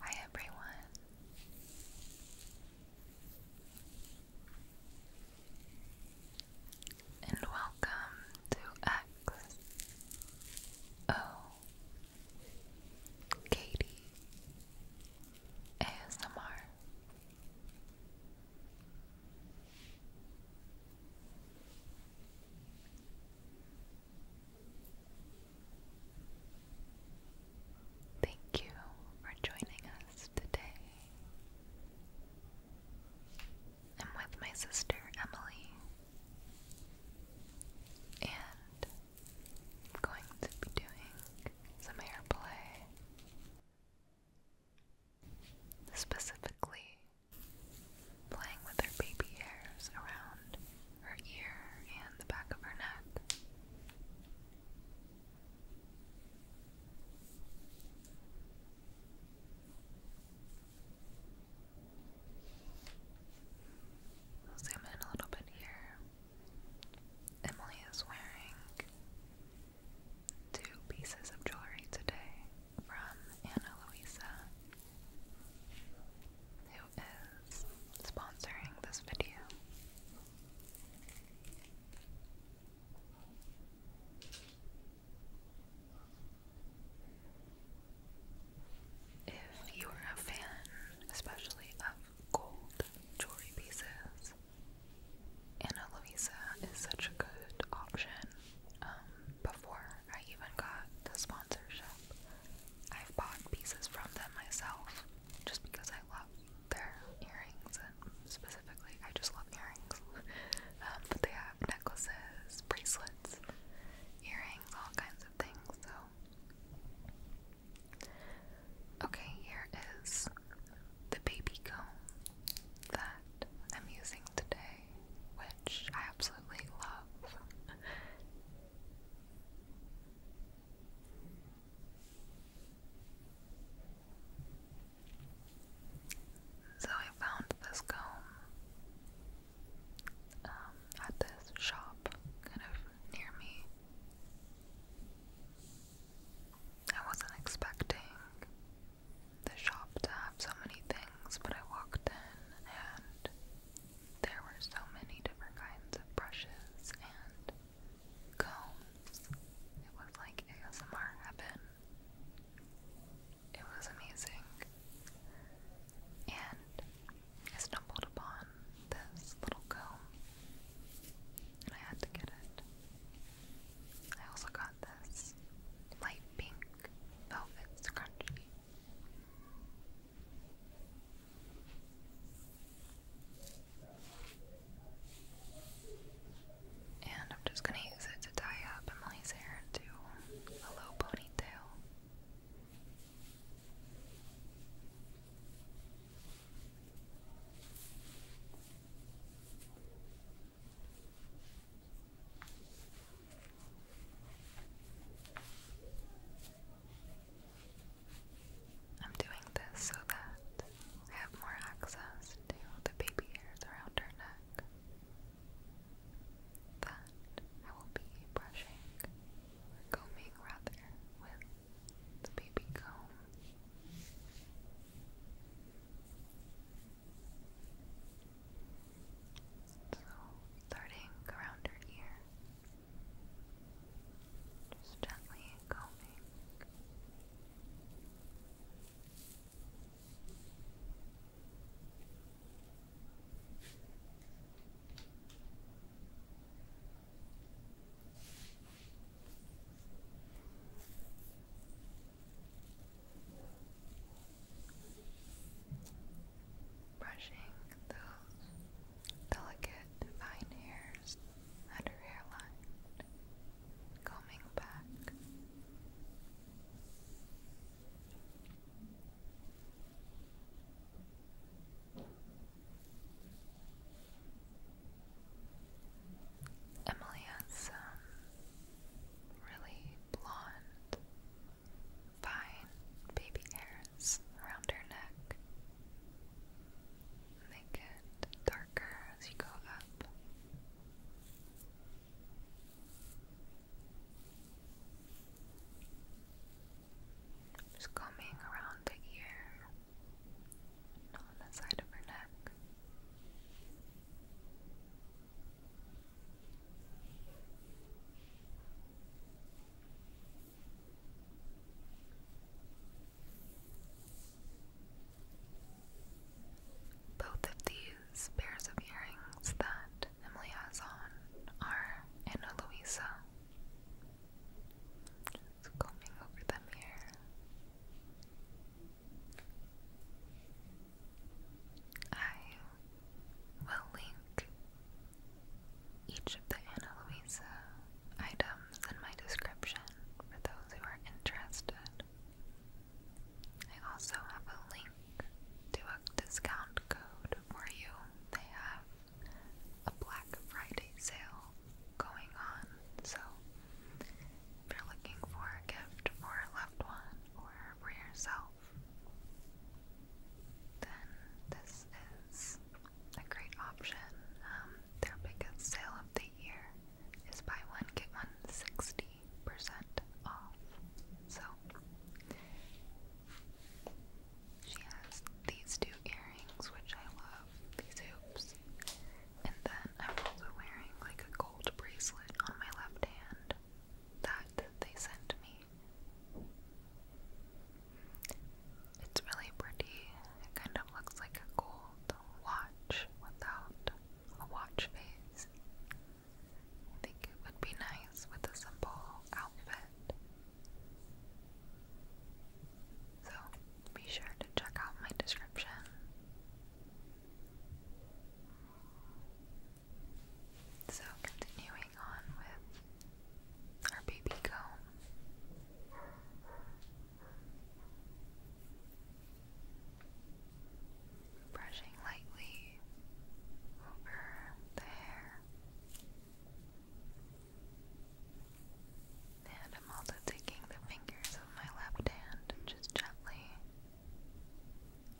Hi everyone. And welcome to X O Katie ASMR. Thank you for joining us today. I'm with my sister Emily, and I'm going to be doing some airplay. Specifically, playing with her baby hairs around her ear and the back of her neck. zoom in a little bit here. Emily is wearing two pieces of jewelry today from Anna Luisa, who is sponsoring this video. If you are a fan, especially of gold jewelry pieces, Ana Luisa is such a good option. Um, before I even got the sponsorship, I've bought pieces from them myself just because I love their earrings and specifically I just love earrings. Um, but they have necklaces, bracelets, earrings, all kinds of things, so Okay, here is the baby comb that I'm using today, which I absolutely love. so I found this comb um, at this shop kind of near me. I wasn't expecting the shop to have so many things, but I walked in and there were so many different kinds of brushes and combs. It was like ASMR heaven. It was amazing. And I stumbled upon this little comb and I had to get it. I also got this light pink velvet scrunchie. And I'm just gonna use it to tie up Emily's hair into a low ponytail. I'm doing this so that I have more access to the baby hairs around her neck that I will be brushing combing rather with the baby comb. So, starting around her ear, just gently combing. Brushing those delicate fine hairs at hairline, combing back. Emily has some really blonde, fine baby hairs around her neck. And they darker as you go up. Just combing around the ear, on the side of her neck. Both of these pairs of earrings that Emily has on are Anna Luisa. Just combing over them here. I will link each of the Ana items in my description for those who are interested. I also have a link to a discount code for you. They have a Black Friday sale going on, so if you're looking for a gift for a loved one or for yourself, then this is a great option. Um, their biggest sale of the year is buy one, get one percent off. So, she has these two earrings, which I love, these hoops, and then I'm also wearing like a gold bracelet on my left hand that they sent me. It's really pretty. It kind of looks like a gold watch without a watch face. I think it would be nice with a simple outfit. So be sure to check out my description so, continuing on with our baby comb. Brushing lightly over the hair. And I'm also taking the fingers of my left hand just gently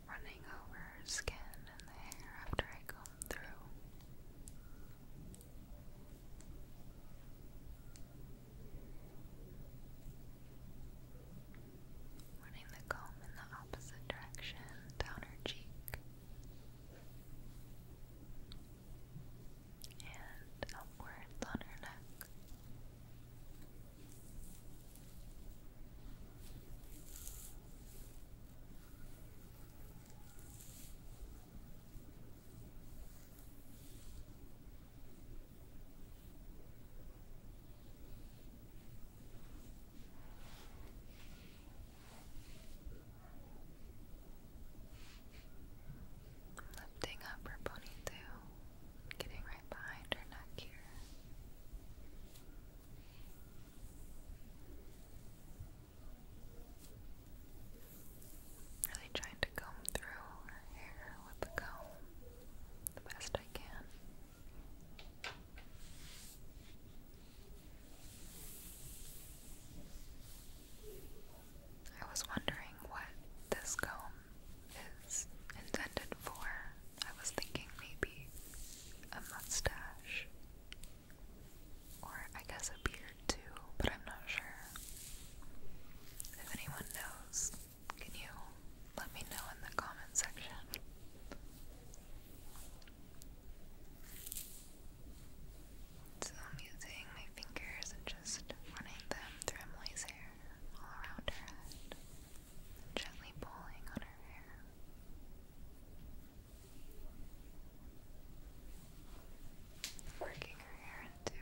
running over her skin and the hair after I comb through. Running the comb in the opposite direction down her cheek and upwards on her neck. Lifting up her ponytail. Getting right behind her neck here. Really trying to comb through her hair with the comb the best I can. I was wondering what this comb is intended for. I was thinking maybe a mustache. Or I guess a beard too, but I'm not sure. If anyone knows, can you let me know in the comment section? So I'm using my fingers and just running them through Emily's hair all around her head gently pulling on her hair. Working her hair into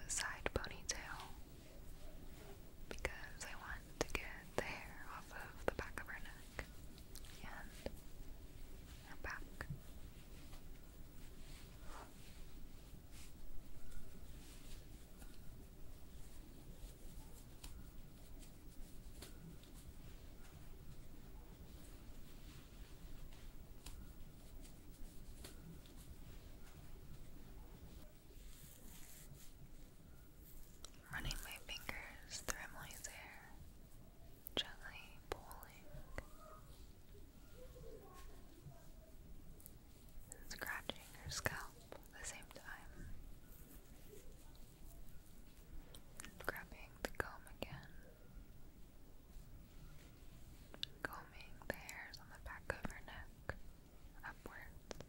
a side ponytail because I want to get the hair off of the back of her neck and her back. Running my fingers through Emily's hair, gently pulling scratching her scalp at the same time. Grabbing the comb again. Combing the hairs on the back of her neck upwards.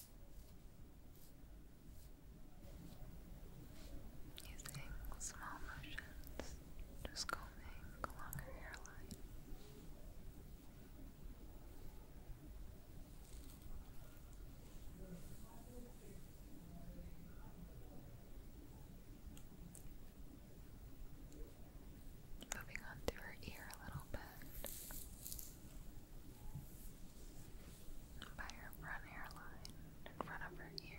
Using small motions, just combing along her hairline. Moving on to her ear a little bit by her front hairline in front of her ear.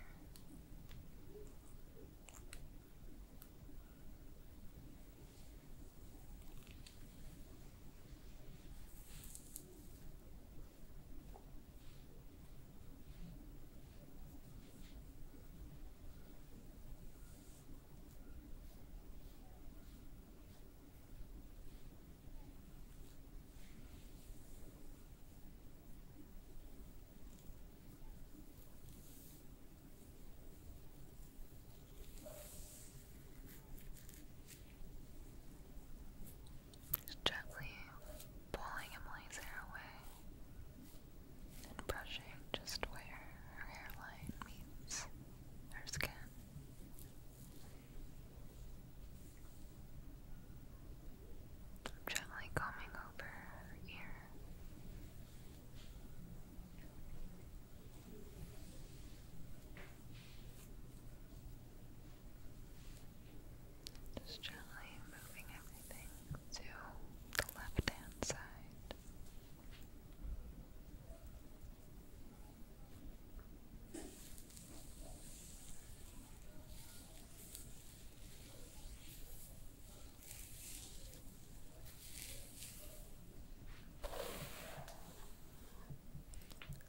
Just gently pulling Emily's hair away and brushing just where her hairline meets her skin. I'm gently combing over her Just gently moving everything to the left hand side.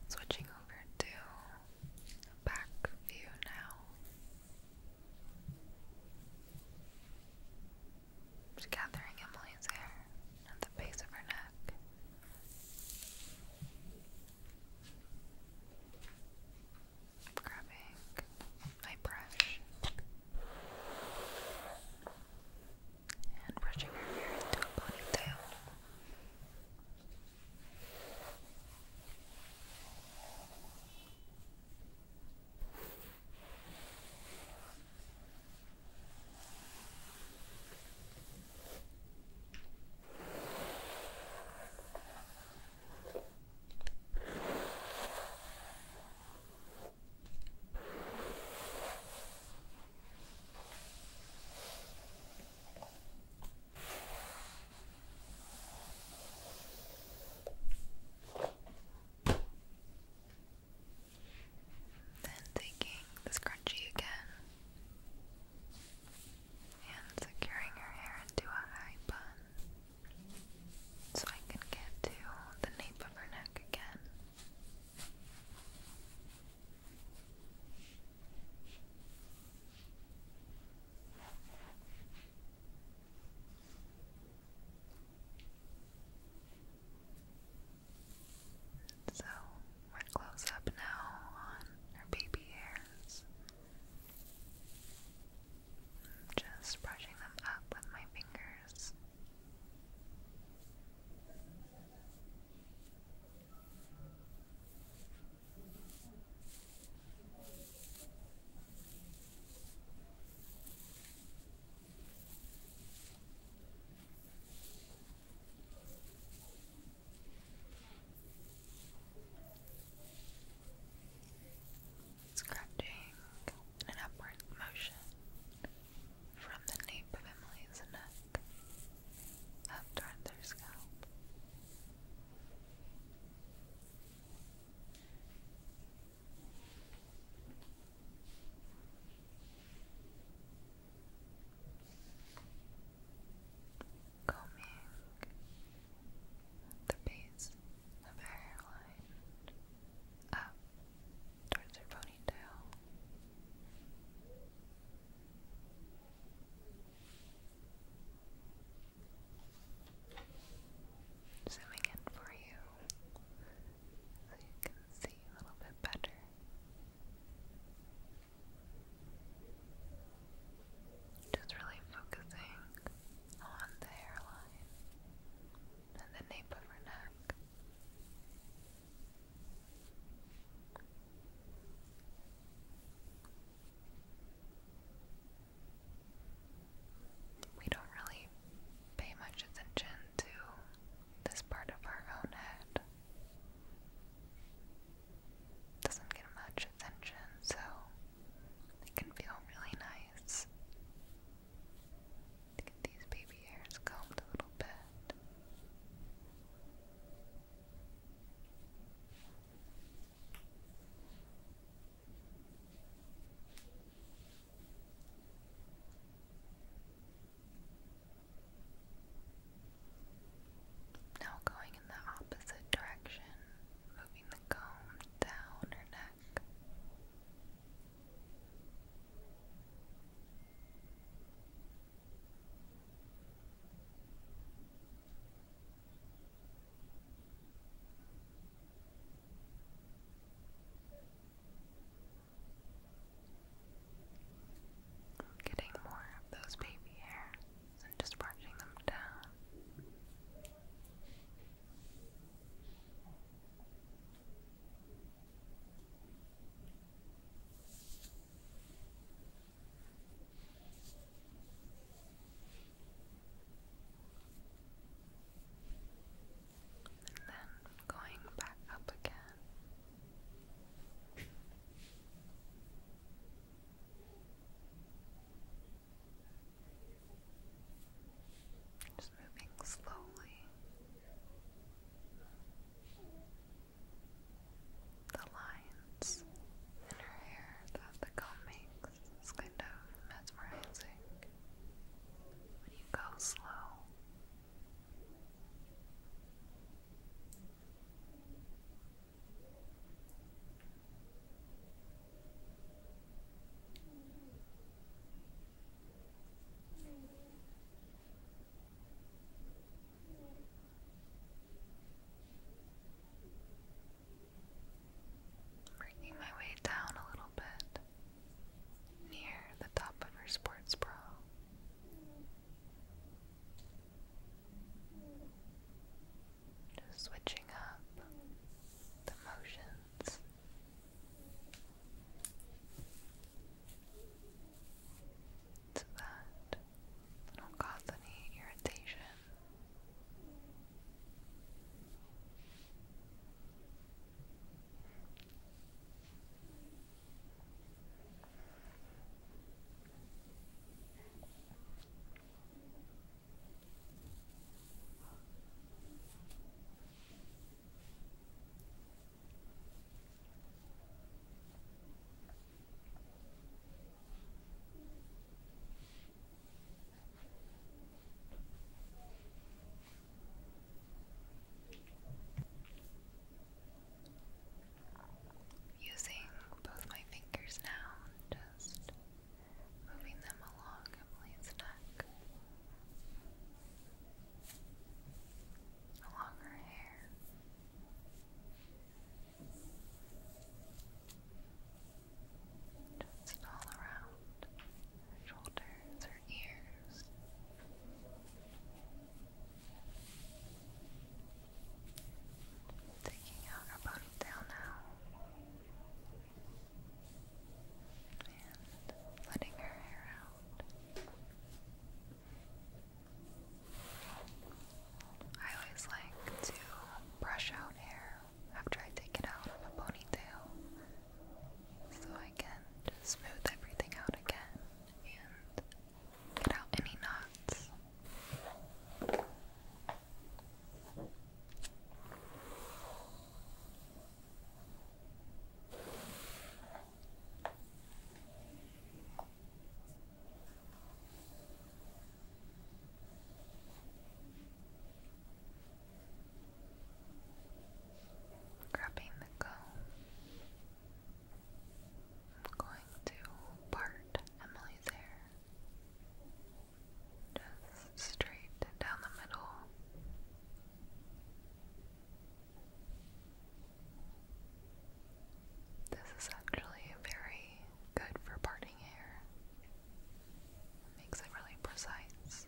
Switching over to back view now. gathering Emily's hair at the base of her neck. I'm grabbing my brush and brushing her hair into a ponytail. Then taking the scrunchie again and securing her hair into a high bun so I can get to the nape of her neck again. So we're close up now on her baby hairs. just brushing them up with my fingers. Scratching in an upward motion from the nape of Emily's neck up toward their scalp combing the base of her hairline up towards her ponytail. Zooming in for you so you can see a little bit better. Just really focusing on the hairline and the nape of her neck. We don't really pay much attention to this part of our own head doesn't get much attention, so it can feel really nice get these baby hairs combed a little bit. Now going in the opposite direction, moving the comb down her neck. Getting more of those baby hairs and just brushing them down. And then going back up again. Just moving slowly. The lines in her hair that the comb makes is kind of mesmerizing when you go slow. Bringing my way down a little bit near the top of her sports bra. Just switching up the motions. So that I don't cause any irritation. Using both my fingers now just moving them along Emily's neck, along her hair. Just all around her shoulders, her ears. Taking out our bottom now. And letting her hair out. I always like to brush out hair after I take it out of a ponytail so I can smooth everything out again and get out any knots. Grabbing the comb, I'm going to part Emily's hair. Just straight down the middle. This is actually very good for parting hair. makes it really precise.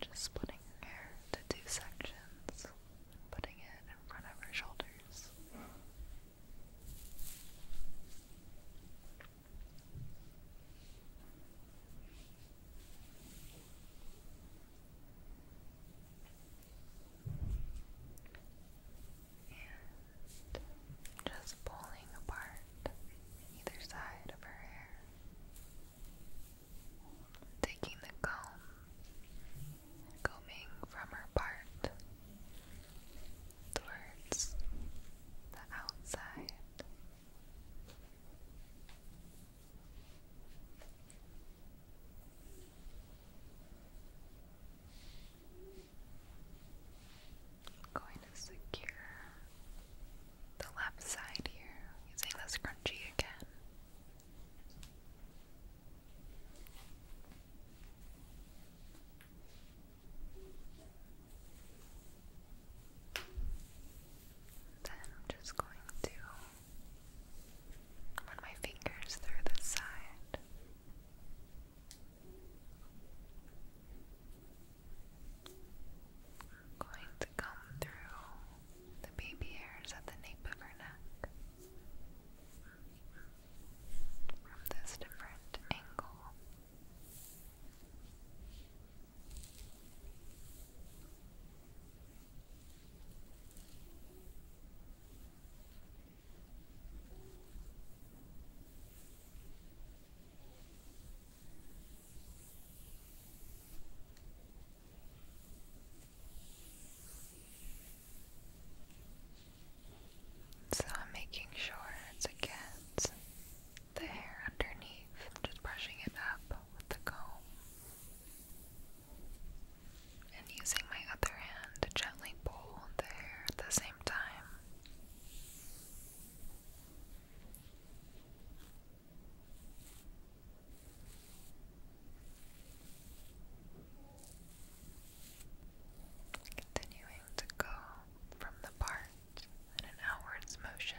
Just splitting her hair into two sections, putting it in front of her shoulders. And just pulling apart either side of her hair. Taking the comb combing from her part towards the outside. going to secure the left side here using the scrunchie again. Then I'm just going to run my fingers through the side. going to come through the baby hairs at the nape of her neck from this different angle. So I'm making sure it's against the hair underneath. I'm just brushing it up with the comb. And using my other hand to gently pull the hair at the same time. Continuing to go from the part in an outwards motion.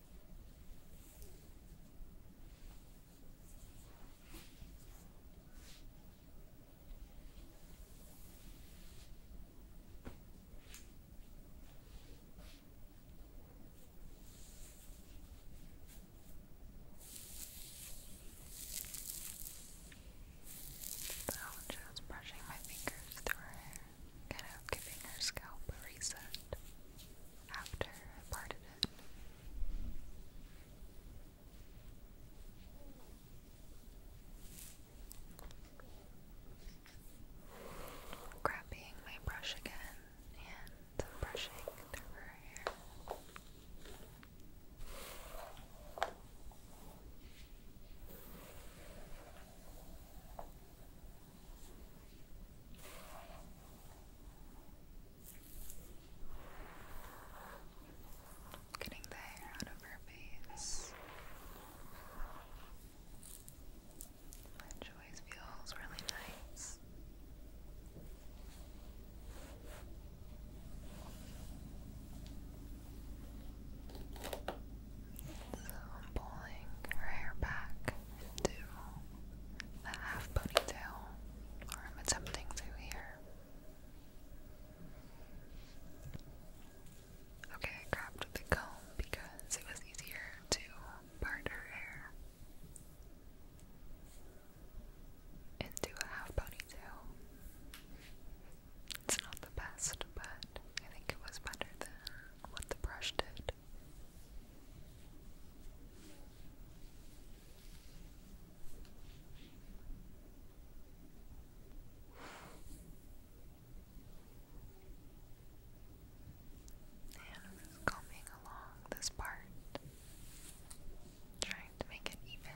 So oh, i just brushing my fingers through her hair, kind of giving her scalp a reset after I parted it. Grabbing my brush again and brushing through her hair. Getting the hair out of her face. Which always feels really nice. So I'm pulling her hair back into the half ponytail, or I'm attempting to here. Okay, I grabbed the comb because it was easier to part her hair into a half ponytail. It's not the best, but I think it was better than what the brush did it. And just combing along this part, trying to make it even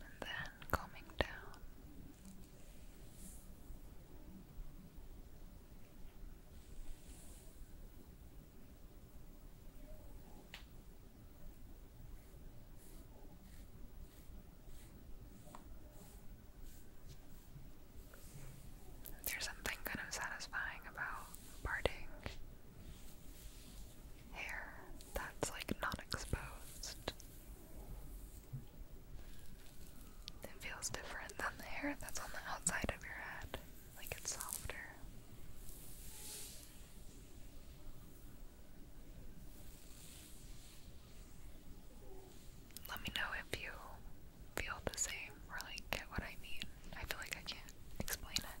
and then coming down. There's something kind of satisfying about parting hair that's like not exposed. It feels different than the hair that's on the outside of your head, like it's softer. Let me know if you feel the same or like get what I mean. I feel like I can't explain it.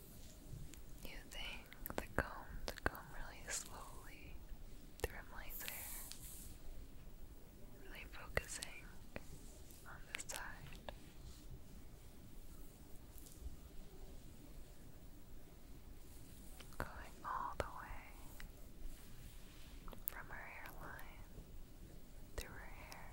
using the comb comb really slowly through Emily's hair, really focusing on this side. Going all the way from her hairline through her hair.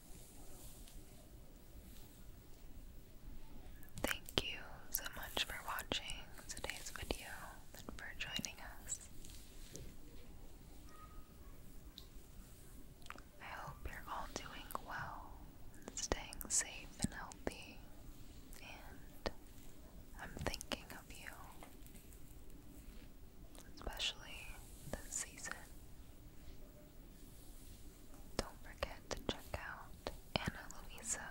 Thank you so much for watching today's video and for joining us. I hope you're all doing well staying safe and healthy, and I'm thinking of you, especially this season. Don't forget to check out Ana Luisa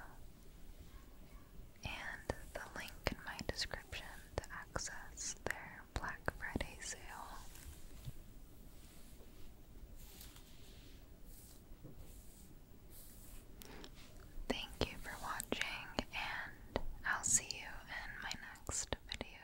and the link in my description to access their Black Friday sale. Thank you for watching, and I'll see you in my next video.